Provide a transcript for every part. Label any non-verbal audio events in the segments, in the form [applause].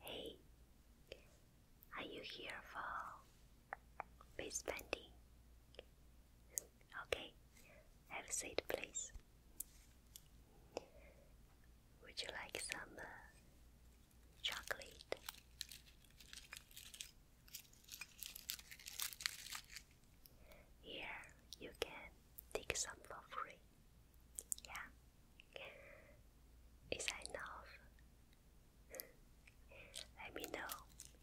Hey, are you here for face painting? Okay, have a seat, please. Would you like some uh, chocolate? Here, you can take some for free. Yeah. Is that enough? [laughs] Let me know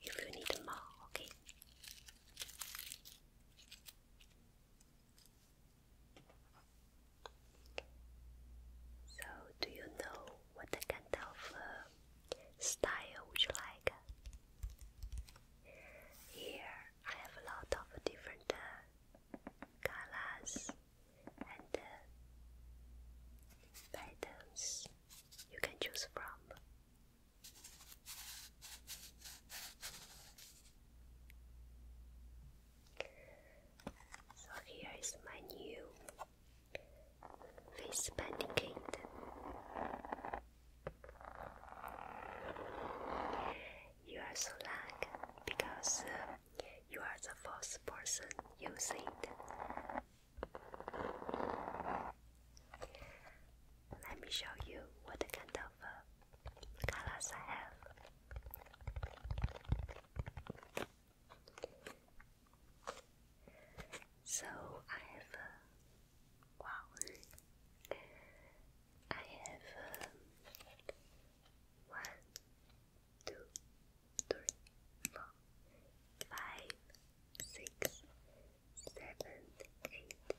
if you need more, okay? So, do you know what kind of uh, style would you like? Here I have a lot of different uh, colors and patterns uh, you can choose from. So here is my new face painting You are so lucky because uh, you are the first person using it. Let me show you what kind of uh, colors I have. So I have, uh, wow, I have um, one, two, three, four, five, six, seven, eight,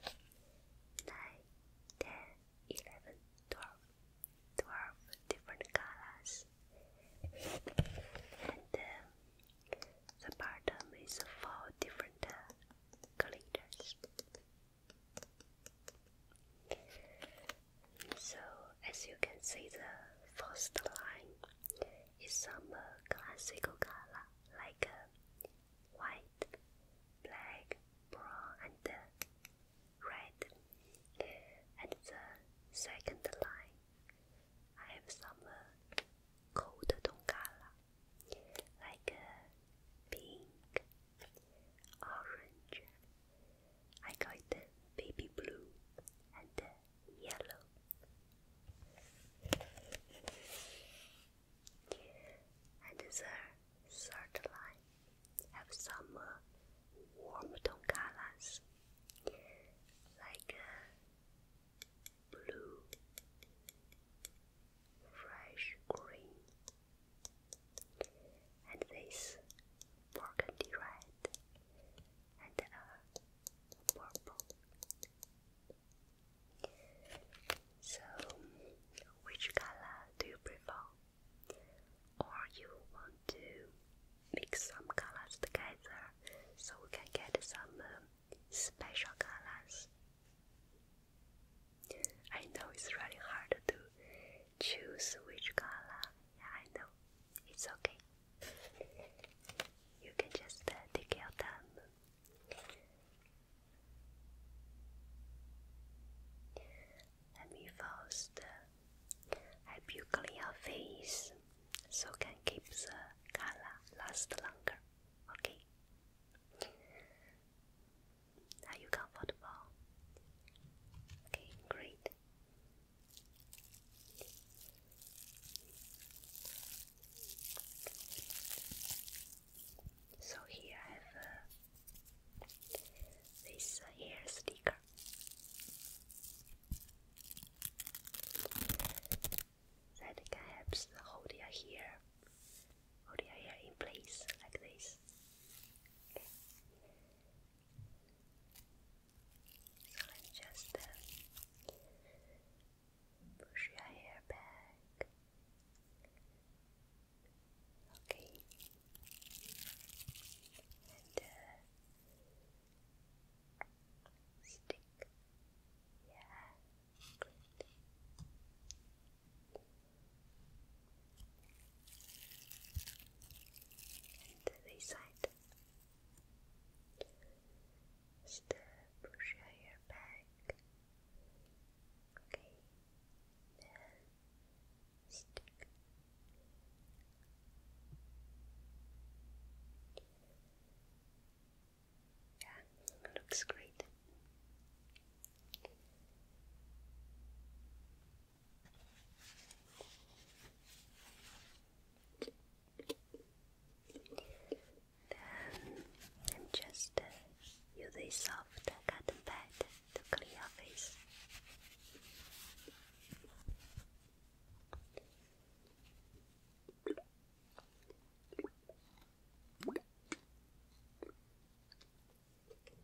nine, ten, eleven, twelve. Twelve different colors. And the bottom is four different uh, so, as you can see, the first line is some uh, classical color like uh, white, black, brown, and uh, red. And the second line, I have some uh, cold tone color like uh, pink, orange. I got the baby blue and the yellow. And the third line have some uh, warm tone colors like uh, blue, fresh green, and this burgundy red and a uh, purple. So, which color do you prefer? Or you want to mix some colors together so we can get some um, special colors? I know it's really hard to choose which color. Yeah, I know. It's okay. You can just uh, take your time. Let first uh, help you clean your face so can keep the color last longer. Okay. Are you comfortable? Okay, great. So here I have uh, this uh, hair sticker. That can help hold your hair, hold your hair in place like this. So let's just push uh, your hair back. Okay. And uh, stick. Yeah and this side. Just push your hair back. Okay, then stick. Yeah, looks great. Then I'm just uh, using soft cotton pad to clean your face and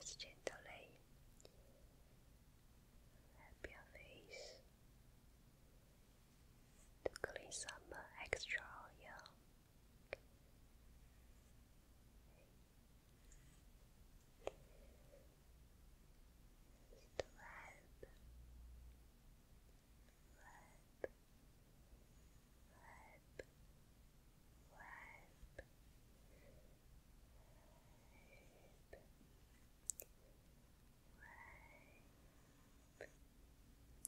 just gently help your face to clean some extra just rub, rub, rub, rub.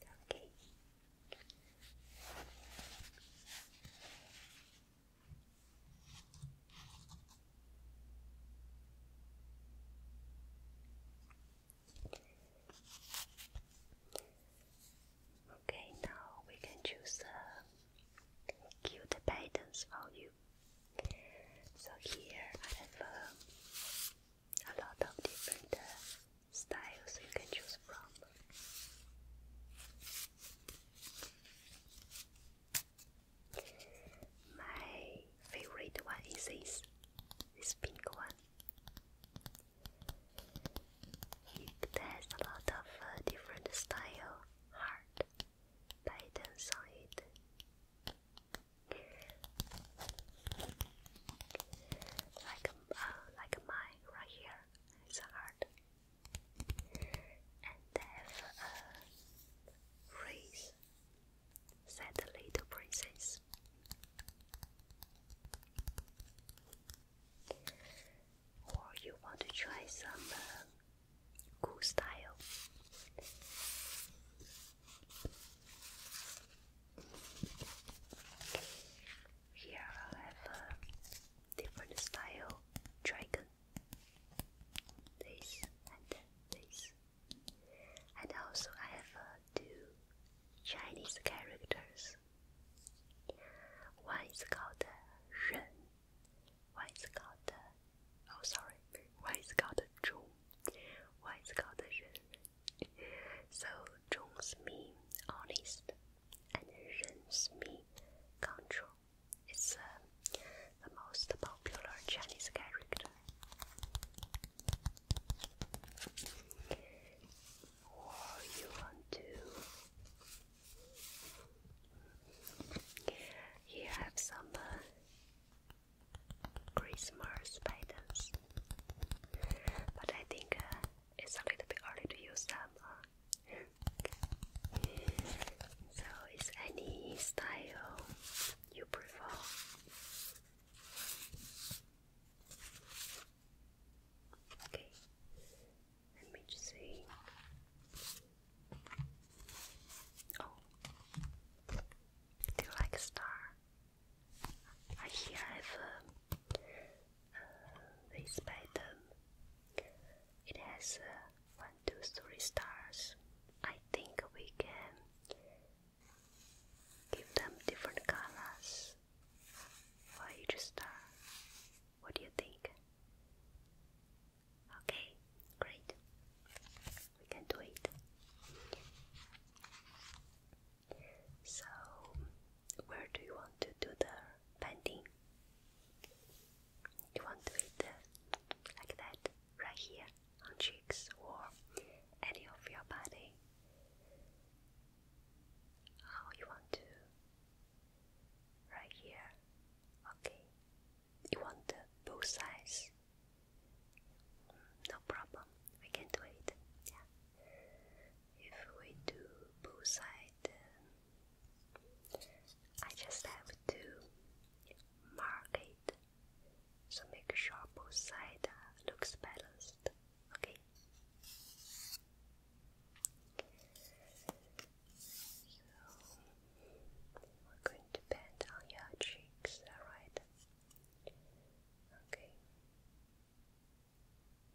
Okay. Okay, now we can choose the cute patterns for you. So here I have um, a lot of different uh, styles you can choose from. My favorite one is this, this pink one. It has a lot of uh, different style heart patterns on Like, uh, like mine right here, a heart and have a race, said the little princess. Or you want to try some uh, cool style? Here i have a different style dragon. This and this. And also I have uh, two Chinese characters. One is called Ren. Uh, One is called uh, oh sorry. One is called Zhong. One is called Ren. so Zhong's mean, honest, and Ren's Mi Control. It's uh, the most popular Chinese character. Or you want to? Here have some uh, Christmas patterns, but I think uh, it's a little bit early to use them. so, is any style you prefer? Okay, let me just see. Oh, do you like star? I here have this pattern. It has uh, one, two, three stars. I think we can give them different colors for each star. What do you think? Okay, great. We can do it. So, where do you want to do the painting? You want to eat uh, like that, right here on cheeks or any of your body. How oh, you want to? Right here. Okay. You want both sides? Mm, no problem. We can do it. Yeah. If we do both sides, I just have to mark it so make sure both sides looks balanced. Okay. So we're going to bend on your cheeks, alright? Okay.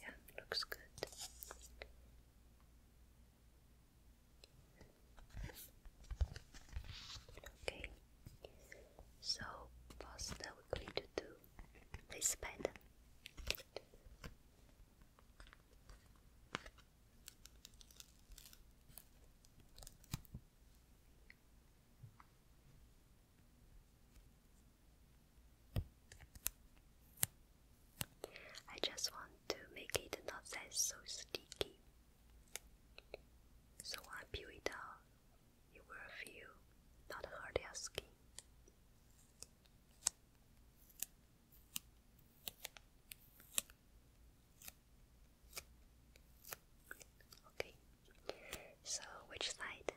Yeah, looks good. Okay, so first uh, we're going to do this pattern. I just want to make it not that so sticky. So I peel it off. you will few, not hurt your skin. Okay, so which side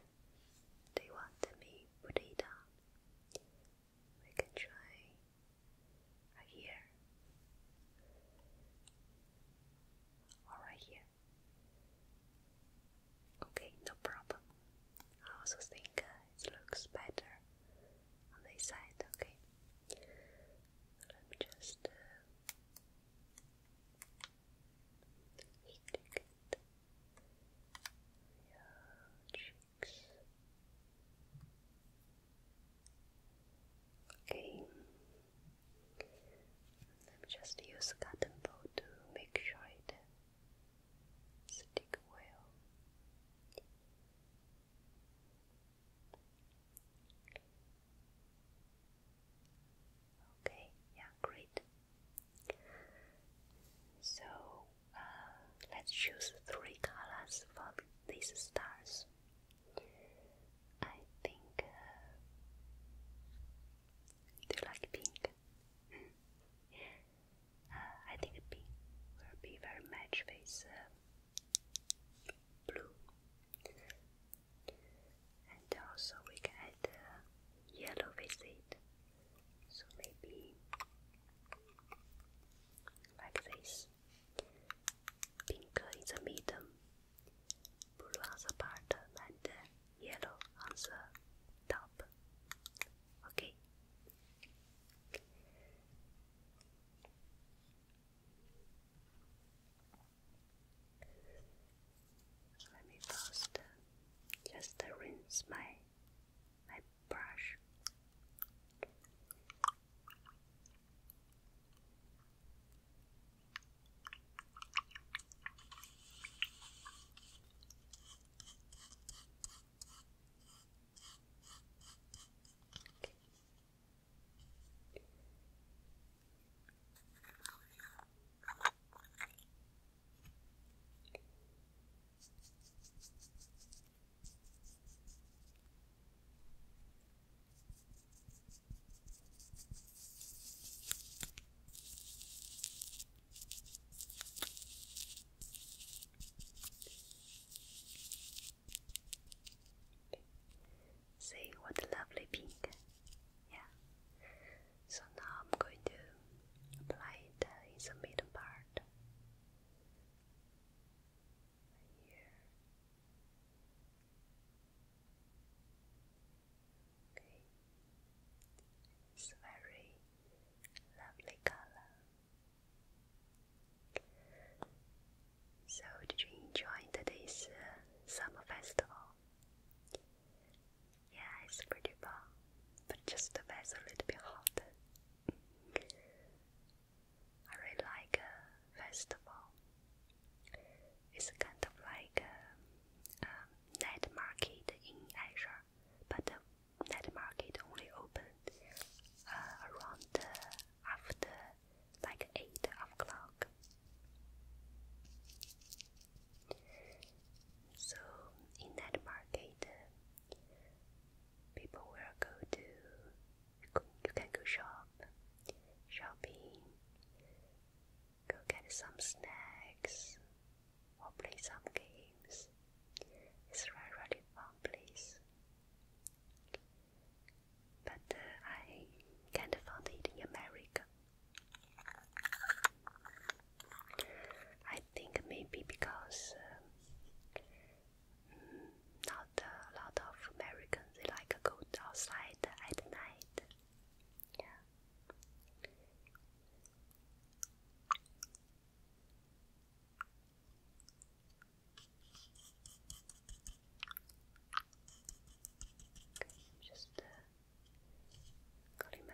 do you want me put it on? we can try here or right here. Okay, no problem. I also think uh, it looks better on this side. Okay, let me just uh, it. Yeah, Okay. I'm just use cotton ball to make sure it stick well. Okay, yeah, great. So let's choose three colors for these stars. I think. Uh, you like pink? Hmm. Uh, I think pink will be very match with uh, blue, and also we can add yellow with it. So maybe like this. Pink in the middle, blue on the bottom, and yellow on the top. Okay. let me first uh, just rinse my my brush. See what lovely pink. Yeah. So now I'm going to apply it uh, in the middle part it's very lovely color. So, did you enjoy today's uh, summer festival? Yeah, it's but just the weather a little hot. I really like uh, festival. It's kind of like a, a night market in Asia, but the night market only opened uh, around uh, after like eight o'clock. So in that market, people will go to you can go shop shopping go get some snacks or play some games it's a really, really fun place but uh, I can't find it in America I think maybe because um, not a lot of Americans they like to go outside at night. Yeah. just uh,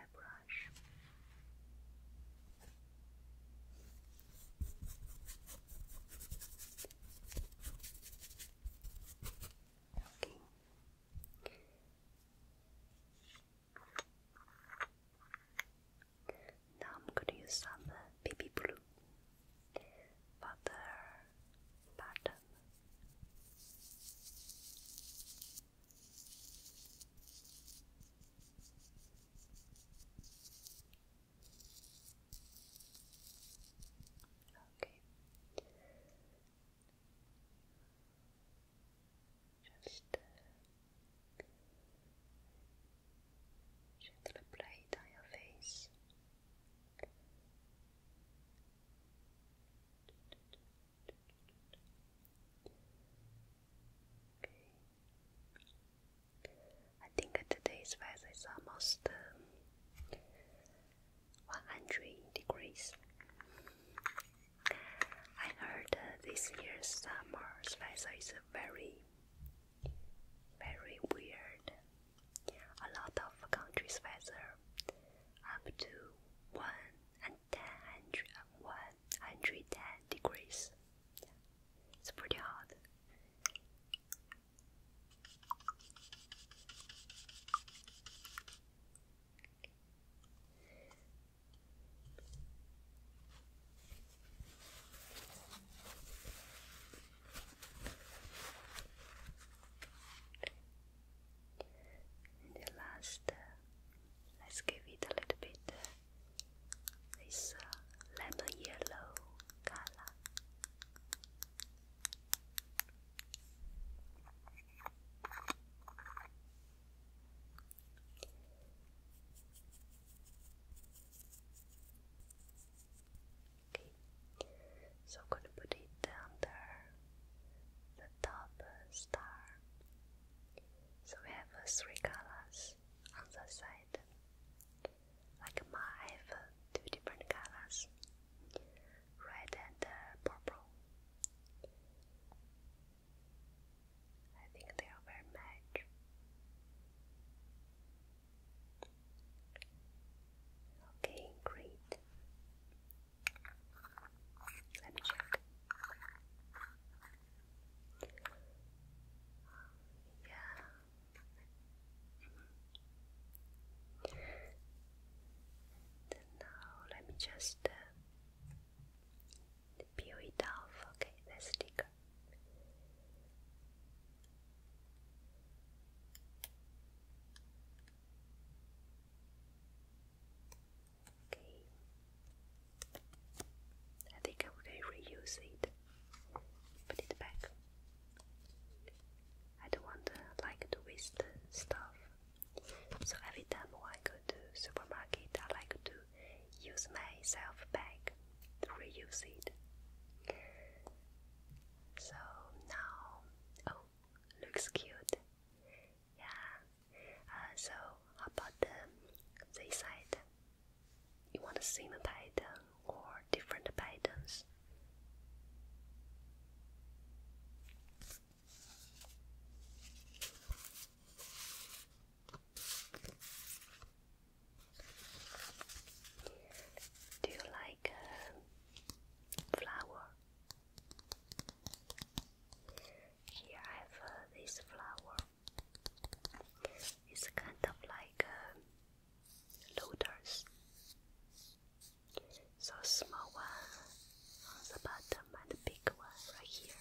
airbrush. Okay. Now I'm gonna use some uh, baby blue butter pattern. Okay. Okay. Just uh, gently on your face. Okay. I think today's weather is almost um, 100 degrees. I heard this year's summer's weather is very, very weird. A lot of countries' weather up to 1 and 10, degrees. It's pretty hard. the last, uh, let's give it a little bit uh, it's a lemon yellow color. Okay. So I'm gonna put it under the top star. So we have uh, three colors on the side, like mine have two different colors, red and uh, purple. I think they are very match. Okay, great. Let me check yeah. now let me just uh, peel it off. Okay, the sticker. Okay. I think I will reuse it. Put it back. I don't want to uh, like to waste stuff. So every time I go to supermarket, I like to use my self bag to reuse it. So now, oh, looks cute. Yeah. Uh, so about um, this side? you want the same pattern or different patterns. Do you like uh, flower? Here I have uh, this flower. It's kind of like uh, loaders. So small one on the bottom and the big one right here.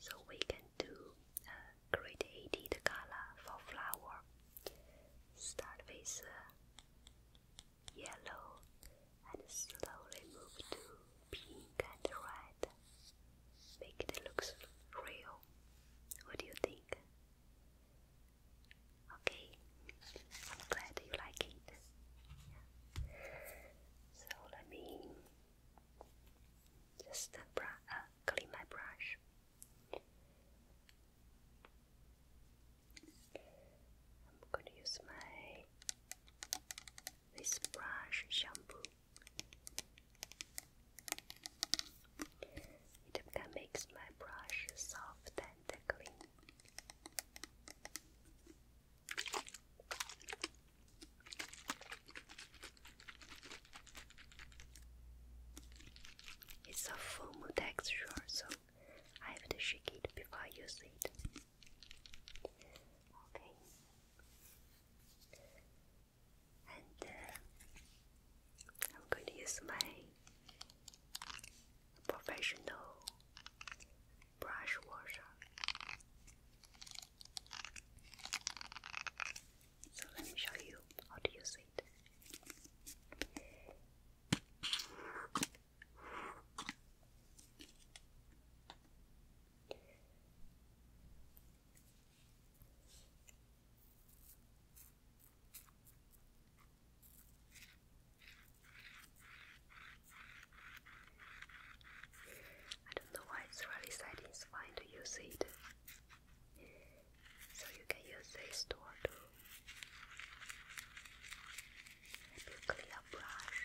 So we can do a uh, gradated color for flower. Start with uh, yellow and slowly move to pink and red. Make it looks real. What do you think? Okay, I'm glad you like it. So let me just uh, uh, clean my brush. I'm going to use my this brush shampoo. It can my brush soft and clean. It's a foam texture, so I have to shake it before I use it. Okay and uh, I'm going to use my professional brush washer. So let me show you how to use it. I don't know why it's really satisfying to use it. So you can use this tool to help you clean brush.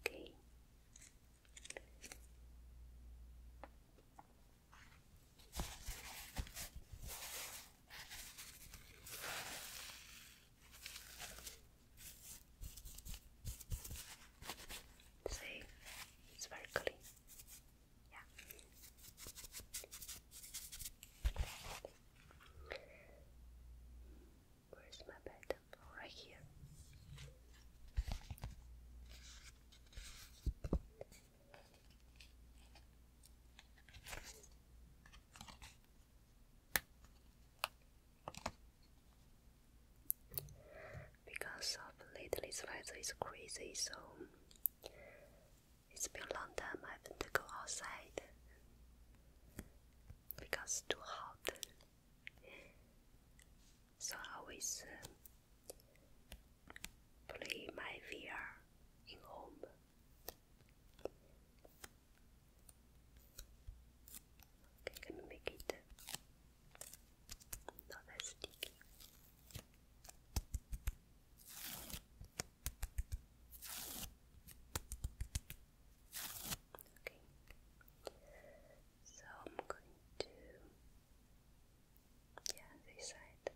Okay. See, it's very clean. Yeah. Where's my bed? right here. Because of lately this weather is crazy, so it's been a long time I haven't go outside because it's too hot so I always um, play my VR in home. Okay, I'm make it not that sticky. Okay. So I'm going to, yeah, this side.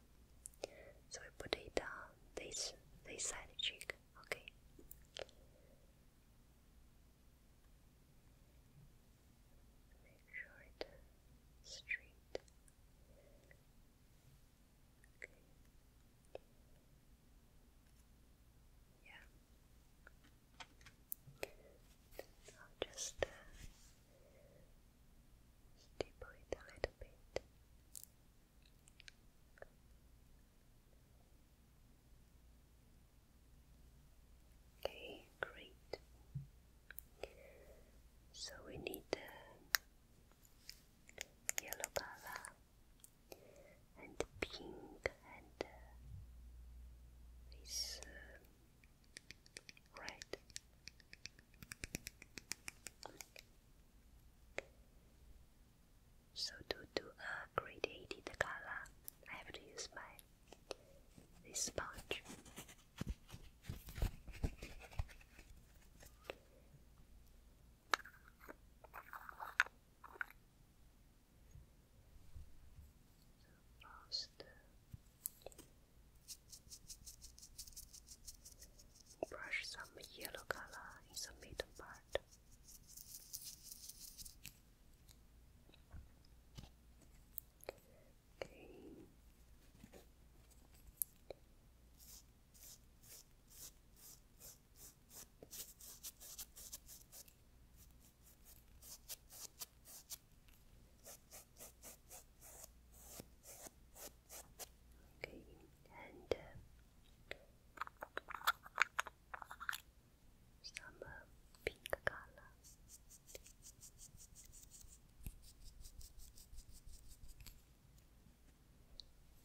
So we put it on this this side cheek, okay. Make sure it's straight. Yeah. I'll just uh, it a little bit. Okay, great. So we need uh, yellow color and pink and and uh, uh red. So to do a gradated color, I have to use my this sponge. So Brush some yellow color in the middle part. Okay, and some pink color.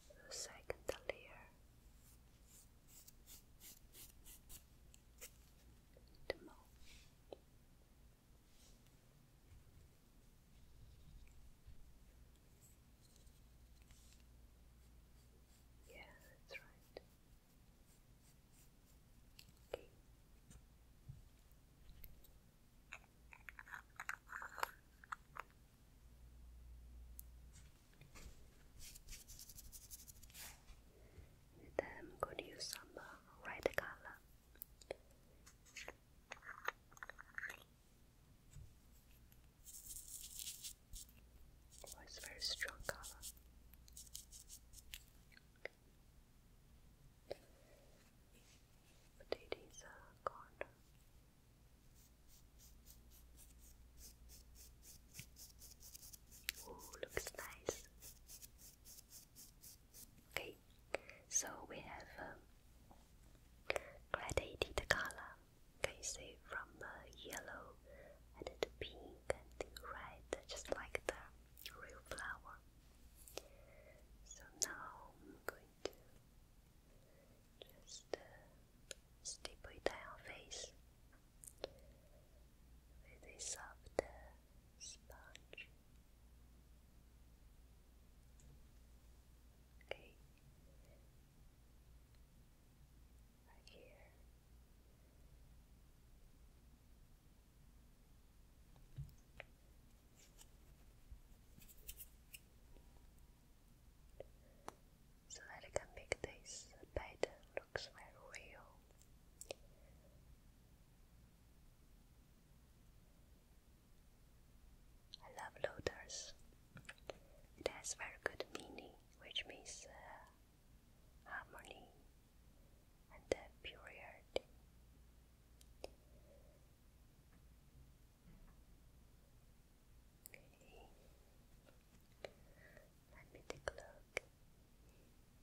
The second layer optimal. Yeah, that's right. Okay. Then I'm going to use some uh, red color. Oh, it's very strong color. Put it in the Ooh, looks nice. Okay, so we have um, the color. Can you see from the yellow and the pink and the red, just like the real flower? So now I'm going to just uh, it on face with a soft sponge. Okay, right here. So that I can make this pattern books were real. I love lotus. It has very good meaning, which means uh, harmony and uh, purity. Okay. Let me take a look.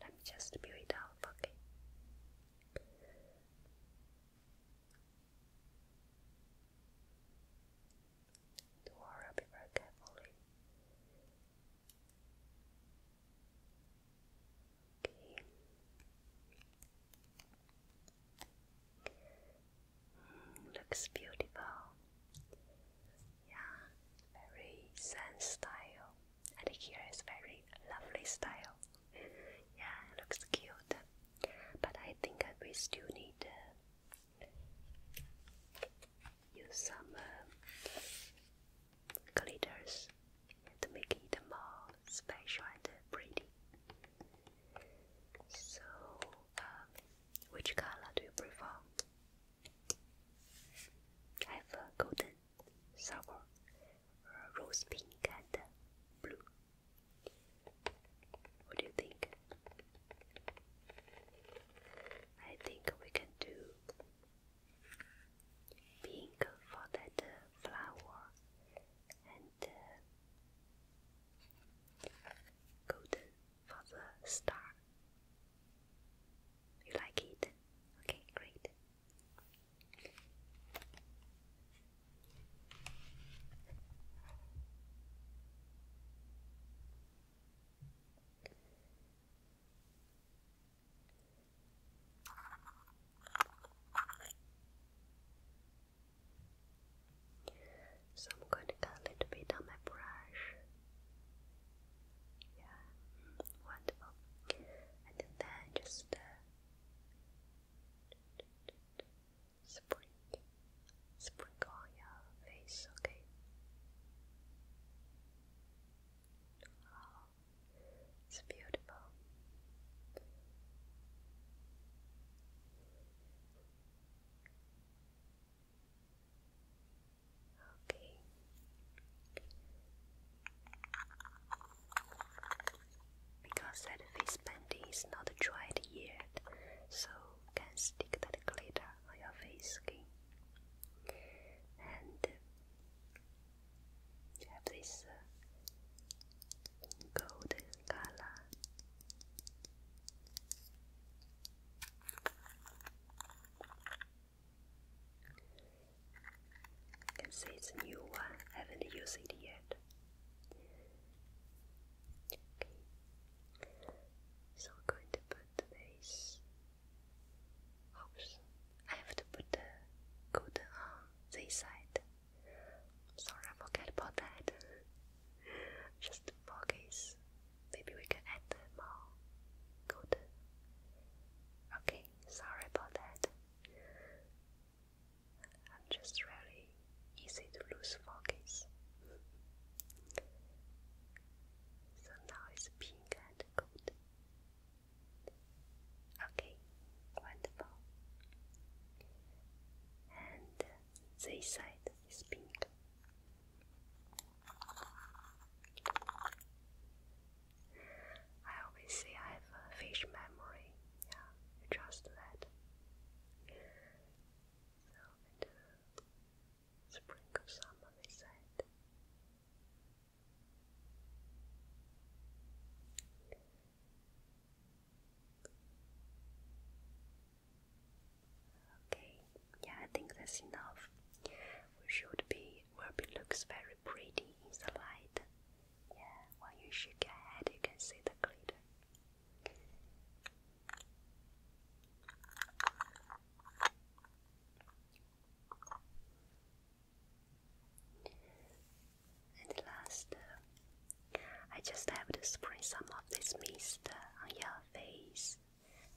Let me just build it up, okay? Don't be very carefully. Okay. Hmm, looks beautiful. Yeah, very Zen style and here is very lovely style. Yeah, looks cute. But I think that we still need use some uh, glitters to make it more special and pretty. So, um, which color do you prefer? I have golden Summer, rose pink, and blue. What do you think? I think we can do pink for that uh, flower and uh, golden for the star. You like it? Okay, great. So I'm going to get a little bit on my brush yeah, wonderful. And then just uh, sprinkle, sprinkle on your face, okay? Oh, it's beautiful. Okay. Because that face painting is not dried yet, so can stick that glitter on your face skin. And uh, have this uh, golden color. You can see it's a new one, uh, I haven't used it yet. Okay. So I'm going to put this. Oops, I have to put the good on this um, side. Sorry, I forgot about that. [laughs] Just focus. Maybe we can add more good. Okay sorry about that. I'm just really easy to lose focus. So now it's pink and gold. Okay, wonderful. And uh, this side is pink. I always say I have a fish memory. Yeah, you that. So, and uh, of summer, Okay, yeah, I think that's enough. should be. Ruby looks very pretty in the light. Yeah, when you shake your head, you can see the glitter. And last, uh, I just have to spray some of this mist on your face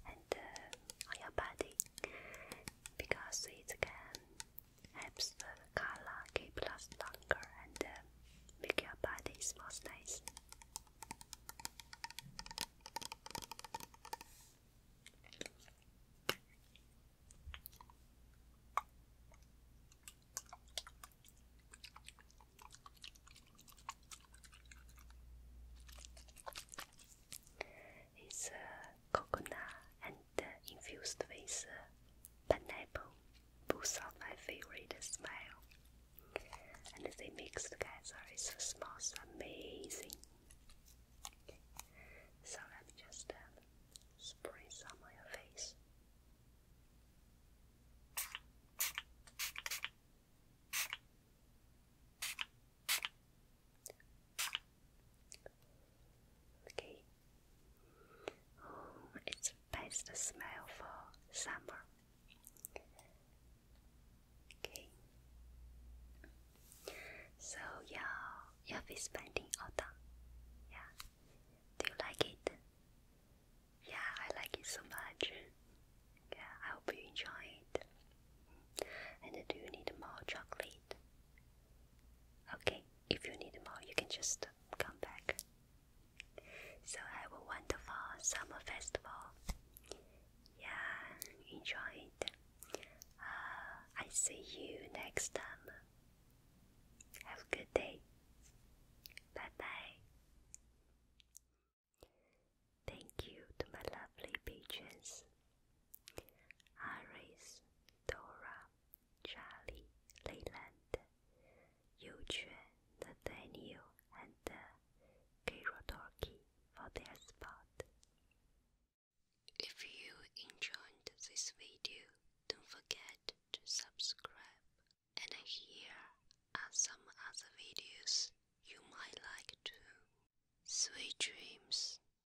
and uh, on your body because it again helps the color keep last longer and uh, make your body smells nice. It's uh, coconut and infused with uh, pineapple. Both are my favorite smell. And they mix together, the smells amazing. So let me just um, spray some on your face. Okay. Oh, it's best smell for summer. Okay. So yeah, you'll be spending autumn. Yeah. Do you like it? Yeah, I like it so much. Yeah, I hope you enjoy it. And do you need more chocolate? Okay, if you need more, you can just come back. So have a wonderful summer festival. Yeah, enjoy it. Uh, I see you next time. Have a good day. Bye bye. Thank you to my lovely patrons. Iris, Dora, Charlie, Leyland, Yuquan, Nathaniel, and uh, Kirodorki for their spot. If you enjoyed this video, don't forget to subscribe. And here are some other videos you might like too. Sweet dreams.